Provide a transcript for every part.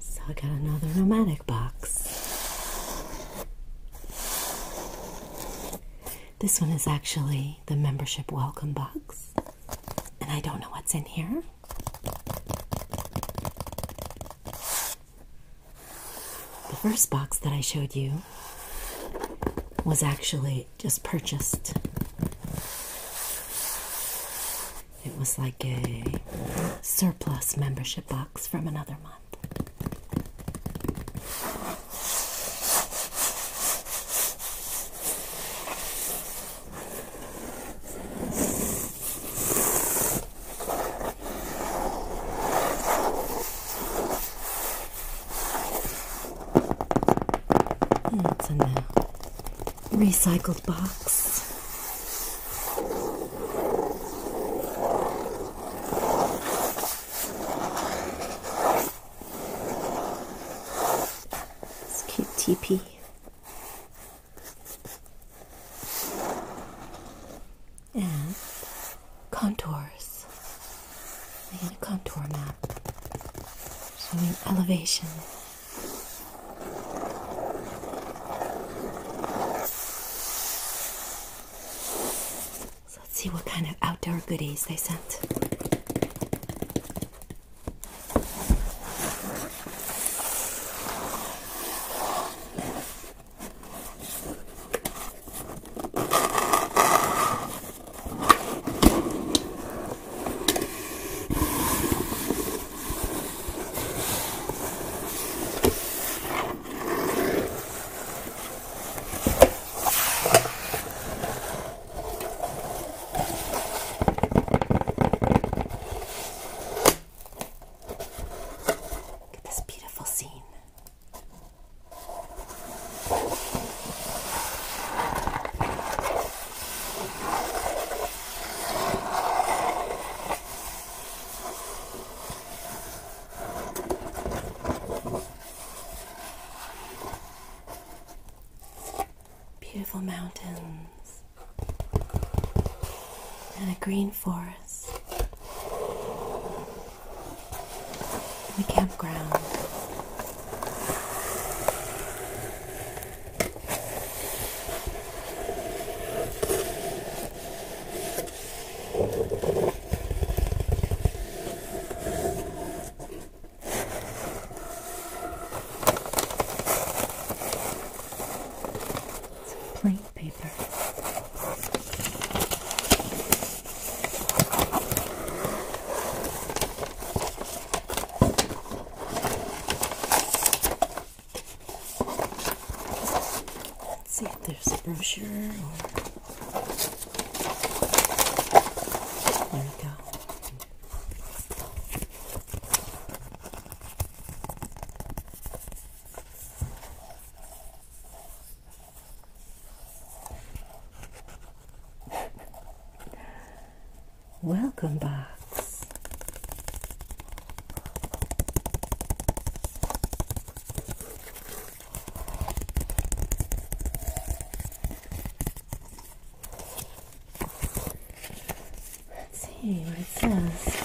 So I got another nomadic box. This one is actually the membership welcome box, and I don't know what's in here. The first box that I showed you was actually just purchased. It was like a surplus membership box from another month. What's hmm, in there? recycled box. cute teepee. And contours and a contour map showing elevation. let's see what kind of outdoor goodies they sent. Look at this beautiful scene. Beautiful mountains and a green forest and a campground some plain paper. Let's see if there's a brochure or. There we go welcome back. Let's see what it says.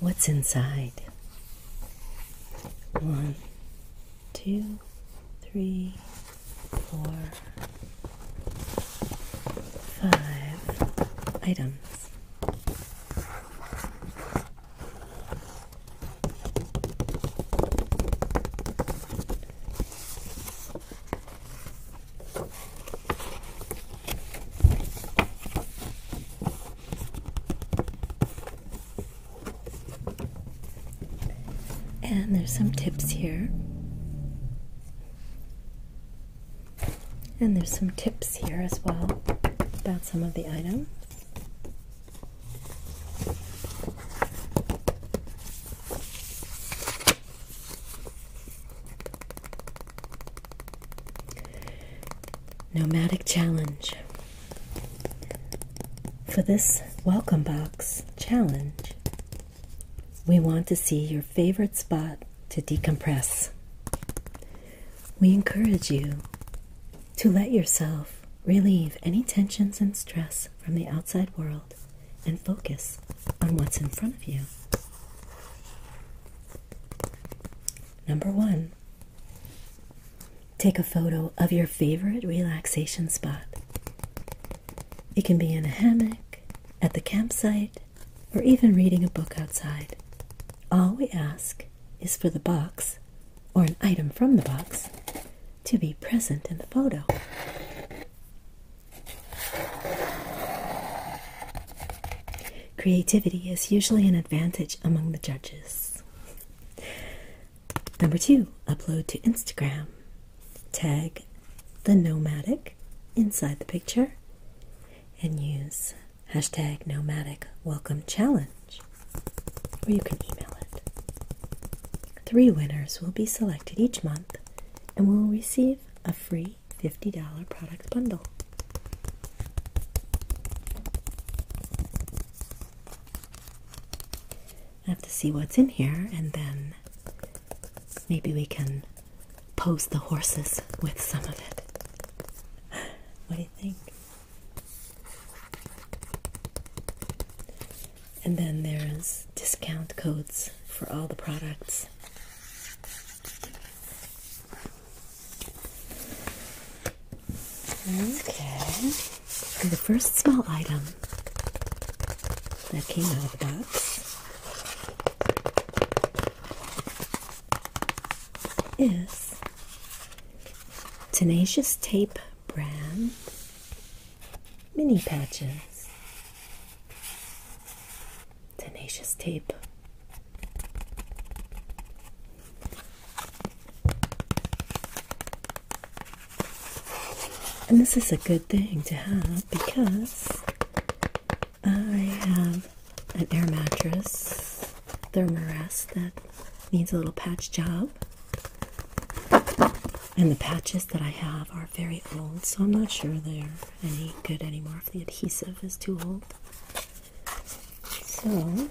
What's inside? One, two, three, four, five items. And there's some tips here. And there's some tips here as well about some of the items. Nomadic Challenge. For this welcome box challenge, we want to see your favorite spot to decompress. We encourage you to let yourself relieve any tensions and stress from the outside world and focus on what's in front of you. Number one, take a photo of your favorite relaxation spot. It can be in a hammock, at the campsite, or even reading a book outside. All we ask is for the box, or an item from the box, to be present in the photo. Creativity is usually an advantage among the judges. Number two, upload to Instagram. Tag the nomadic inside the picture and use hashtag nomadic welcome challenge, or you can email it. Three winners will be selected each month and will receive a free $50 product bundle. I have to see what's in here and then maybe we can pose the horses with some of it. What do you think? And then there's discount codes for all the products. Okay. And the first small item that came out of the box is Tenacious Tape brand mini patches tenacious tape. And this is a good thing to have because I have an air mattress thermarest that needs a little patch job. And the patches that I have are very old, so I'm not sure they're any good anymore if the adhesive is too old. So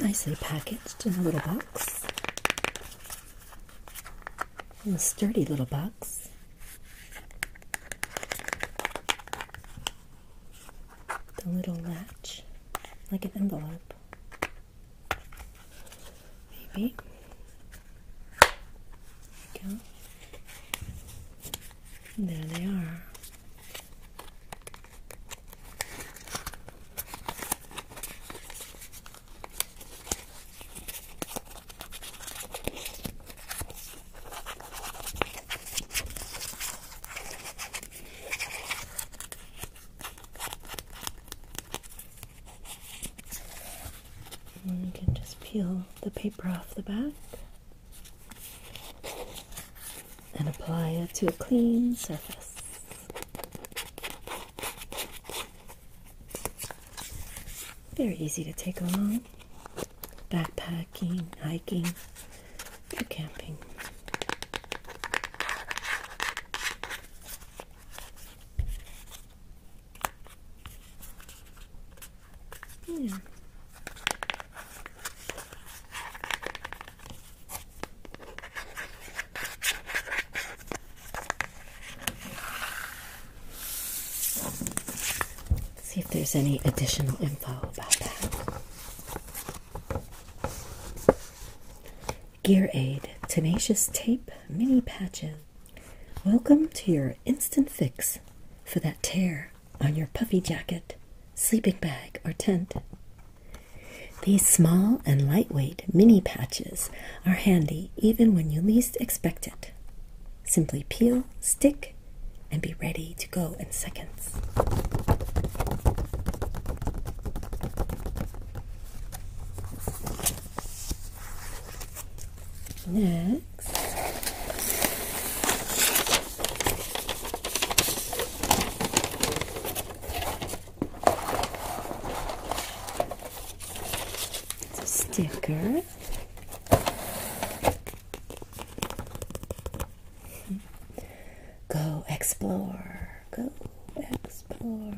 Nicely packaged in a little box. In a sturdy little box. The little latch, like an envelope maybe. There, there they are. And you can just peel the paper off the back and apply it to a clean surface. Very easy to take along. Backpacking, hiking, camping. Hmm. see if there's any additional info about that. Gear Aid Tenacious Tape Mini Patches. Welcome to your instant fix for that tear on your puffy jacket, sleeping bag, or tent. These small and lightweight mini patches are handy even when you least expect it. Simply peel, stick, and be ready to go in seconds. Next, it's a sticker. Go explore, go explore.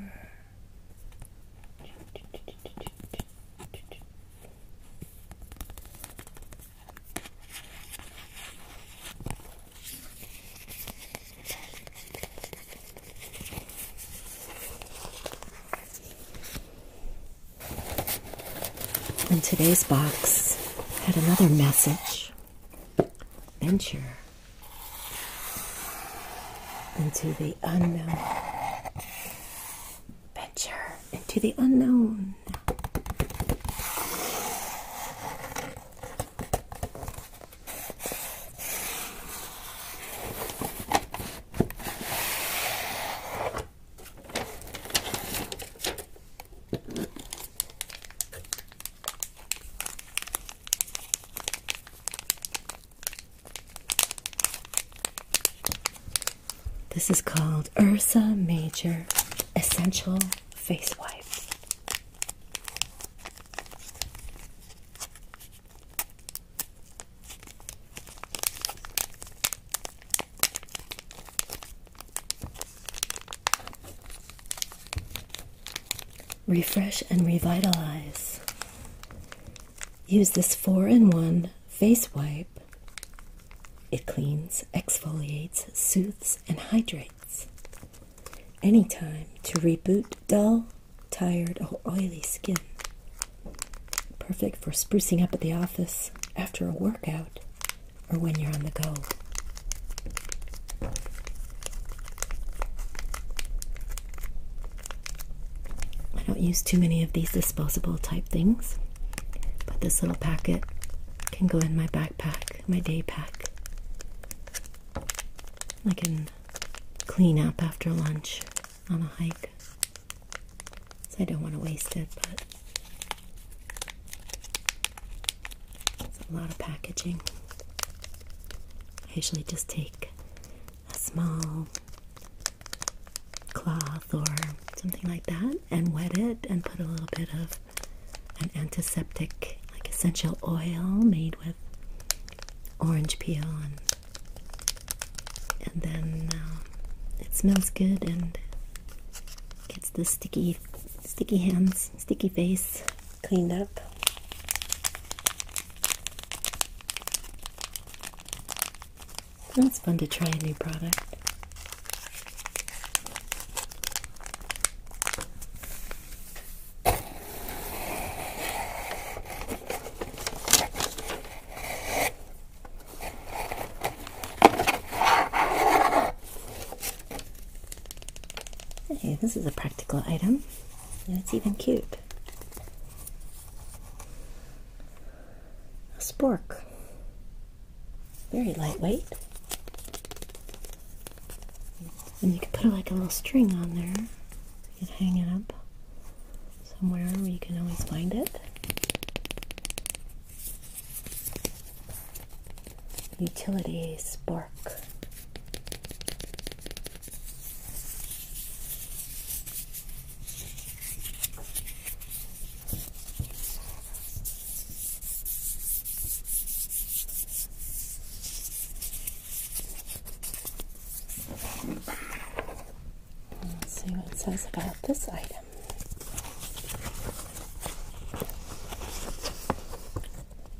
And today's box had another message venture into the unknown venture into the unknown. This is called Ursa Major Essential Face Wipe. Refresh and revitalize. Use this 4 in 1 face wipe. It cleans, exfoliates, soothes, and hydrates. Anytime to reboot dull, tired, or oily skin. Perfect for sprucing up at the office after a workout or when you're on the go. I don't use too many of these disposable type things, but this little packet can go in my backpack, my day pack. I can clean up after lunch on a hike. So I don't want to waste it, but it's a lot of packaging. I usually just take a small cloth or something like that and wet it and put a little bit of an antiseptic like essential oil made with orange peel and then uh, it smells good and gets the sticky sticky hands sticky face cleaned up and it's fun to try a new product. Hey, this is a practical item, and it's even cute a spork. Very lightweight. And you can put like a little string on there. You hang it up somewhere where you can always find it. Utility spork. Let's see what it says about this item.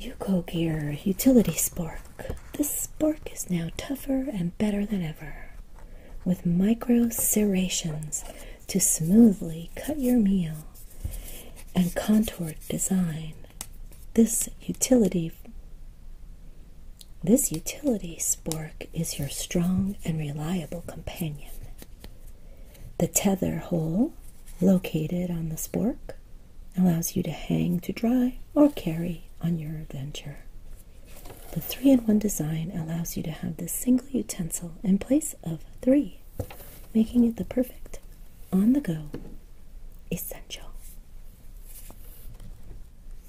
Yuko Gear Utility Spark. This spark is now tougher and better than ever with micro serrations to smoothly cut your meal and contoured design. This utility this utility spork is your strong and reliable companion. The tether hole located on the spork allows you to hang to dry or carry on your adventure. The three in one design allows you to have this single utensil in place of three, making it the perfect on the go essential.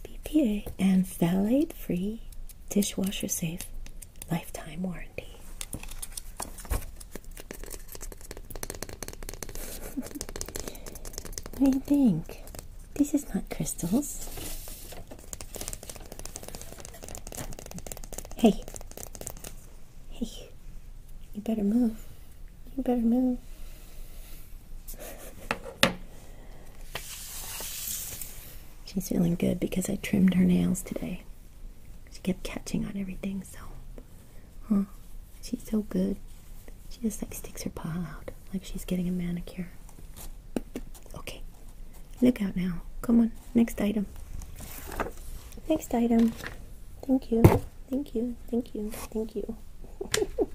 BPA and phthalate free dishwasher safe lifetime warranty. what do you think? This is not crystals. Hey. Hey. You better move. You better move. She's feeling good because I trimmed her nails today. She kept catching on everything, so. Huh? She's so good. She just like sticks her paw out like she's getting a manicure. Okay, look out now. Come on, next item. Next item. Thank you, thank you, thank you, thank you.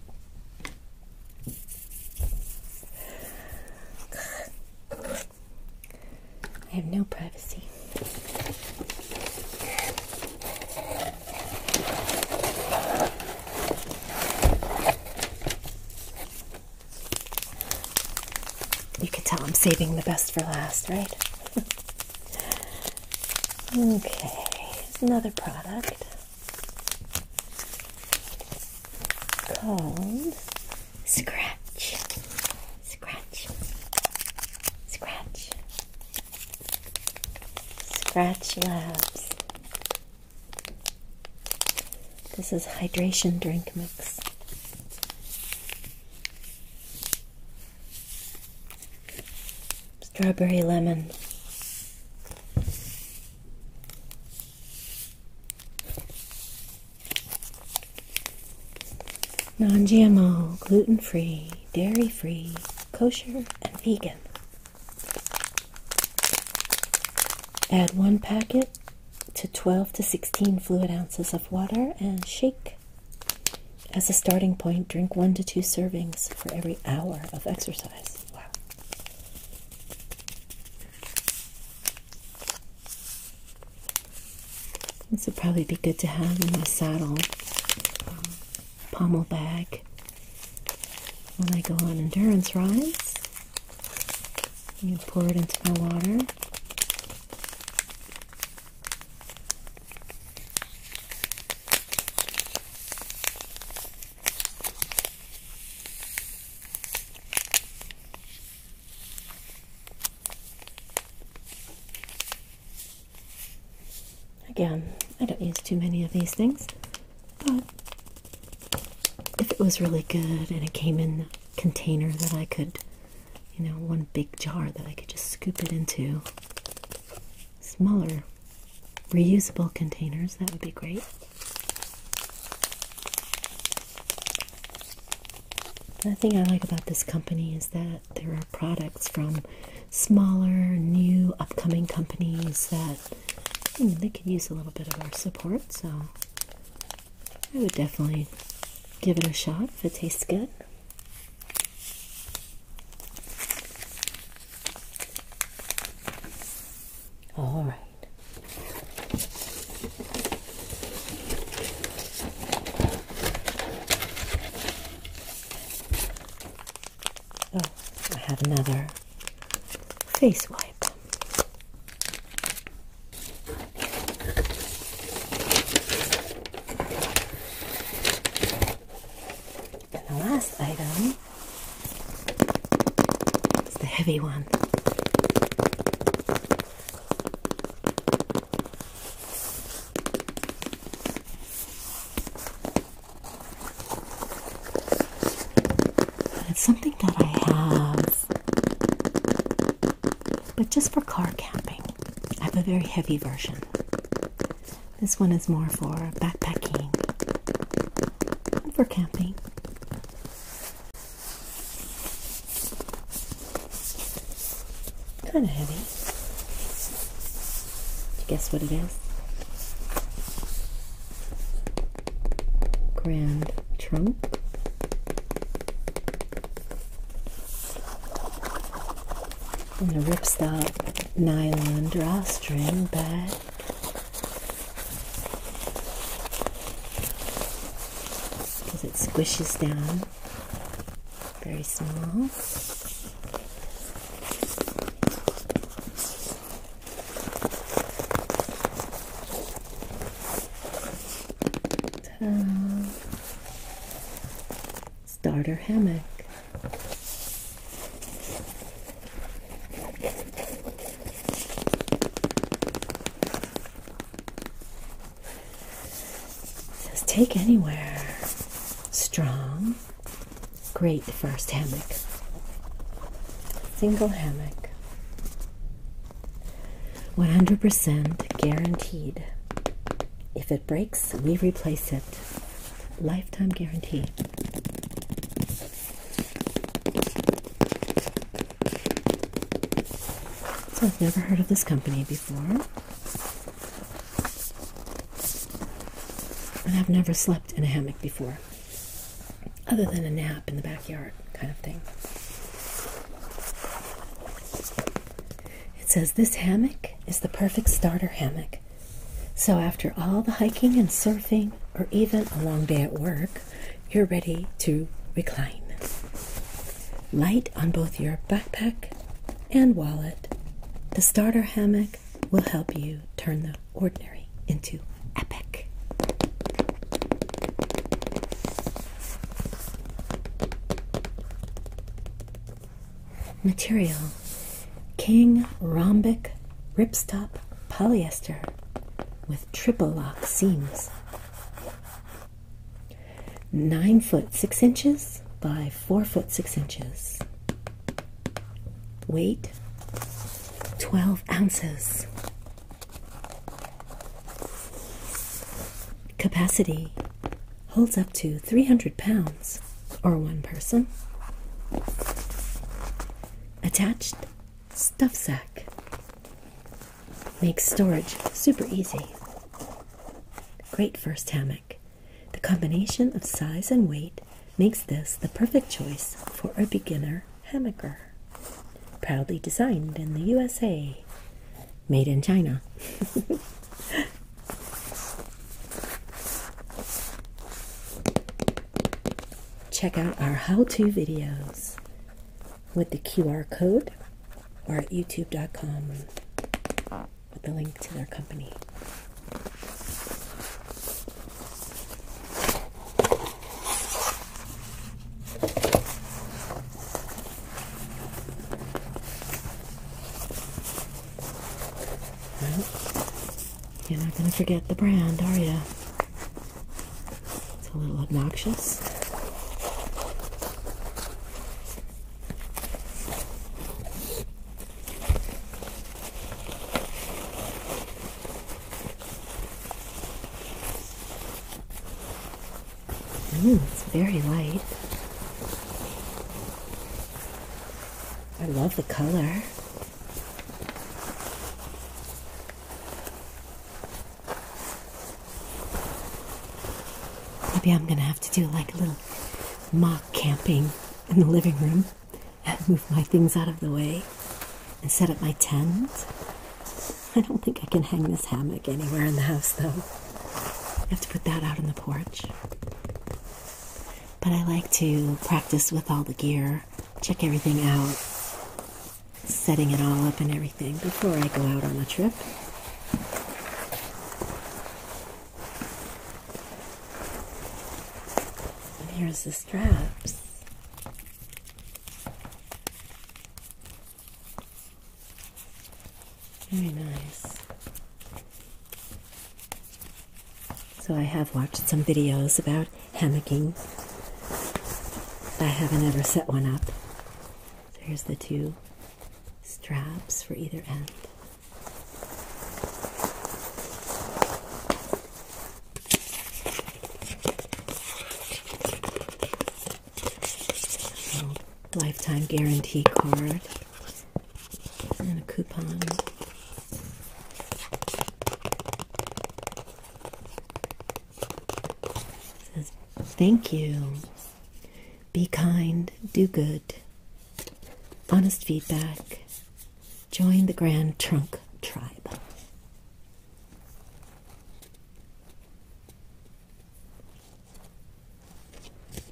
I have no privacy. You can tell I'm saving the best for last, right? okay, here's another product called Scratch. Scratch. Scratch. Scratch Labs. This is hydration drink mix. Strawberry lemon. Non GMO, gluten free, dairy free, kosher, and vegan. Add one packet to 12 to 16 fluid ounces of water and shake. As a starting point, drink one to two servings for every hour of exercise. Wow. This would probably be good to have in my saddle um, pommel bag when I go on endurance rides. I'm going to pour it into my water. Again, I don't use too many of these things. But if it was really good and it came in a container that I could, you know, one big jar that I could just scoop it into, smaller reusable containers, that would be great. The thing I like about this company is that there are products from smaller, new, upcoming companies that Hmm, they could use a little bit of our support, so I would definitely give it a shot if it tastes good. All right. Oh, I have another face wipe. And the last item is the heavy one. But it's something that I have but just for car camping, I have a very heavy version. This one is more for backpacking and for camping. Kind of heavy. you guess what it is? Grand Trunk. And a ripstop nylon drawstring bag. Because it squishes down. Very small. Starter hammock. Says take anywhere. Strong. Great first hammock. Single hammock. 100% guaranteed. If it breaks, we replace it. Lifetime guarantee. So I've never heard of this company before. And I've never slept in a hammock before other than a nap in the backyard kind of thing. It says this hammock is the perfect starter hammock. So, after all the hiking and surfing, or even a long day at work, you're ready to recline. Light on both your backpack and wallet, the starter hammock will help you turn the ordinary into epic. Material King Rhombic Ripstop Polyester with triple lock seams. 9 foot 6 inches by 4 foot 6 inches. Weight 12 ounces. Capacity holds up to 300 pounds or one person. Attached stuff sack makes storage super easy. Great first hammock. The combination of size and weight makes this the perfect choice for a beginner hammocker. Proudly designed in the USA. Made in China. Check out our how to videos with the QR code or at youtube.com with the link to their company you're not going to forget the brand, are you? It's a little obnoxious it's very light. I love the color. Maybe I'm gonna have to do like a little mock camping in the living room and move my things out of the way and set up my tent. I don't think I can hang this hammock anywhere in the house though. I have to put that out on the porch. But I like to practice with all the gear, check everything out, setting it all up and everything before I go out on a trip. And here's the straps. Very nice. So I have watched some videos about hammocking. I haven't ever set one up. So here's the two straps for either end lifetime guarantee card and a coupon. says, Thank you. Be kind, do good. Honest feedback. Join the Grand Trunk Tribe. It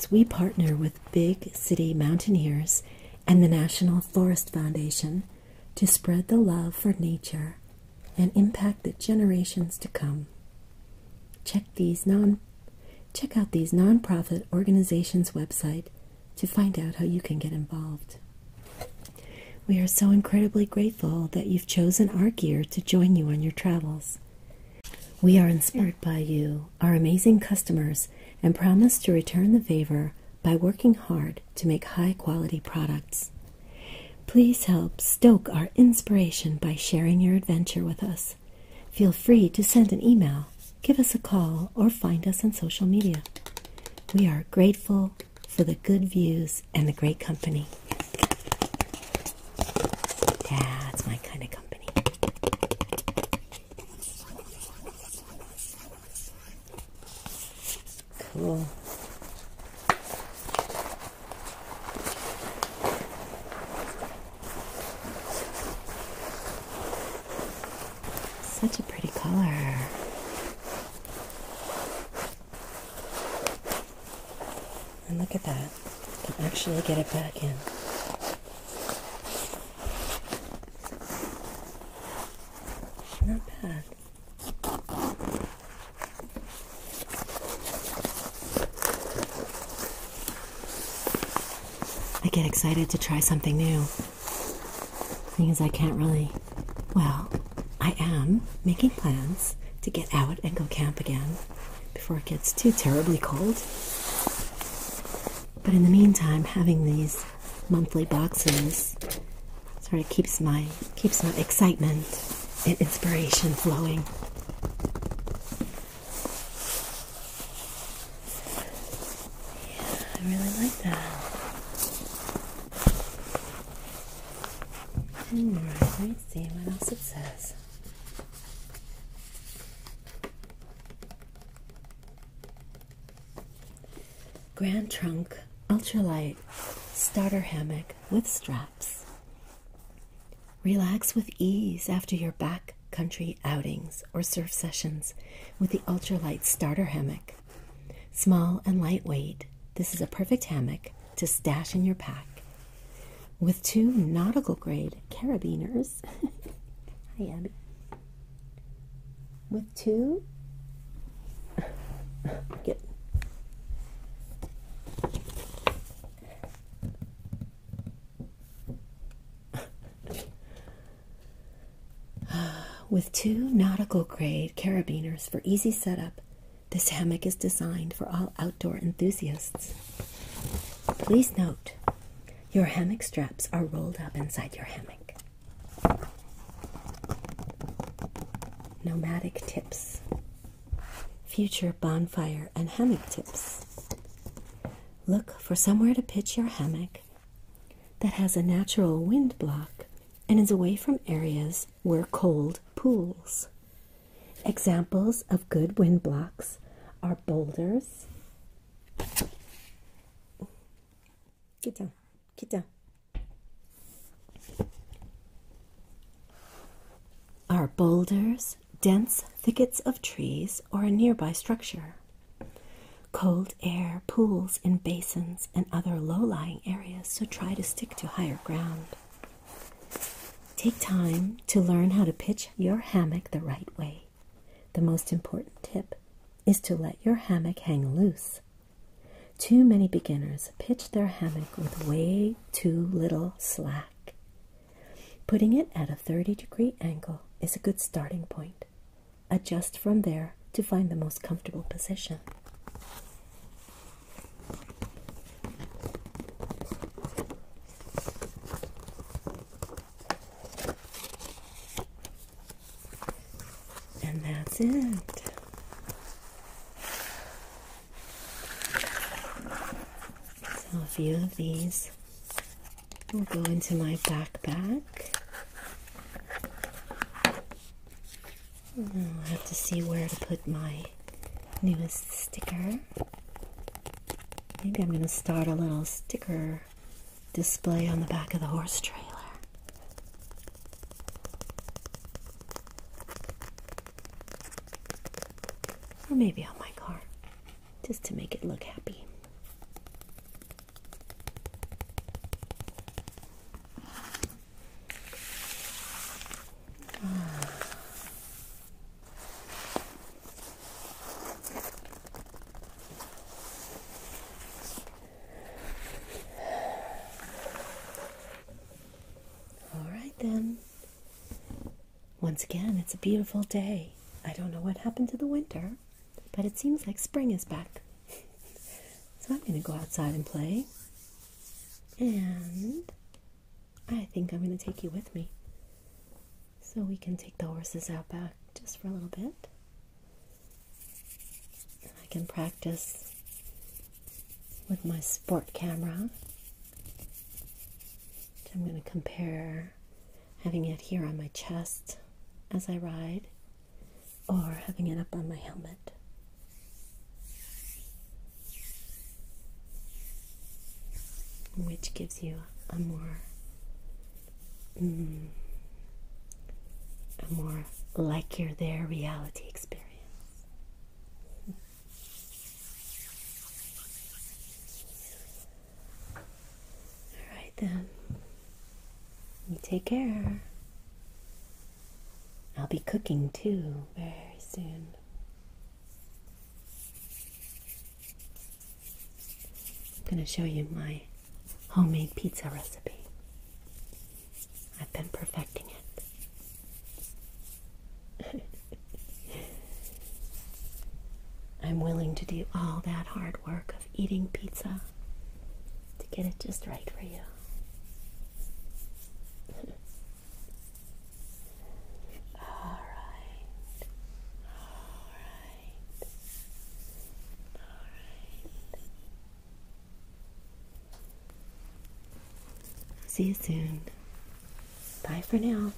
says we partner with Big City Mountaineers and the National Forest Foundation to spread the love for nature and impact the generations to come. Check these non check out these nonprofit organizations' website to find out how you can get involved. We are so incredibly grateful that you've chosen our gear to join you on your travels. We are inspired by you, our amazing customers, and promise to return the favor by working hard to make high quality products. Please help stoke our inspiration by sharing your adventure with us. Feel free to send an email, give us a call, or find us on social media. We are grateful, for the good views and the great company. That's my kind of company. Cool. Such a pretty color. And look at that. I can actually get it back in. Not bad. I get excited to try something new. Thing is, I can't really. Well, I am making plans to get out and go camp again before it gets too terribly cold. But in the meantime, having these monthly boxes sort of keeps my keeps my excitement and inspiration flowing. Yeah, I really like that let's see what else it says. Grand Trunk Ultralight Starter Hammock with Straps. Relax with ease after your backcountry outings or surf sessions with the Ultralight Starter Hammock. Small and lightweight, this is a perfect hammock to stash in your pack. With two nautical grade carabiners. Hi, Abby. With two. Get. With two nautical grade carabiners for easy setup this hammock is designed for all outdoor enthusiasts. Please note your hammock straps are rolled up inside your hammock. Nomadic tips, future bonfire and hammock tips. Look for somewhere to pitch your hammock that has a natural wind block and is away from areas were cold pools. Examples of good wind blocks are boulders. Get down, get down. Are boulders, dense thickets of trees, or a nearby structure? Cold air pools in basins and other low lying areas, so try to stick to higher ground. Take time to learn how to pitch your hammock the right way. The most important tip is to let your hammock hang loose. Too many beginners pitch their hammock with way too little slack. Putting it at a 30 degree angle is a good starting point. Adjust from there to find the most comfortable position. And that's it. a few of these will go into my backpack. I will have to see where to put my newest sticker. Maybe I'm going to start a little sticker display on the back of the horse trailer. Or maybe on my car, just to make it look happy. All right, then. Once again, it's a beautiful day. I don't know what happened to the winter, but it seems like spring is back. so I'm going to go outside and play. And I think I'm going to take you with me so we can take the horses out back just for a little bit. I can practice with my sport camera. I'm going to compare having it here on my chest as I ride or having it up on my helmet. Which gives you a more, mm, a more like you're there reality experience. All right then, you take care. I'll be cooking too very soon. I'm going to show you my homemade pizza recipe. I've been perfecting it. I'm willing to do all that hard work of eating pizza to get it just right for you. All right. All right. All right. See you soon. Bye for now.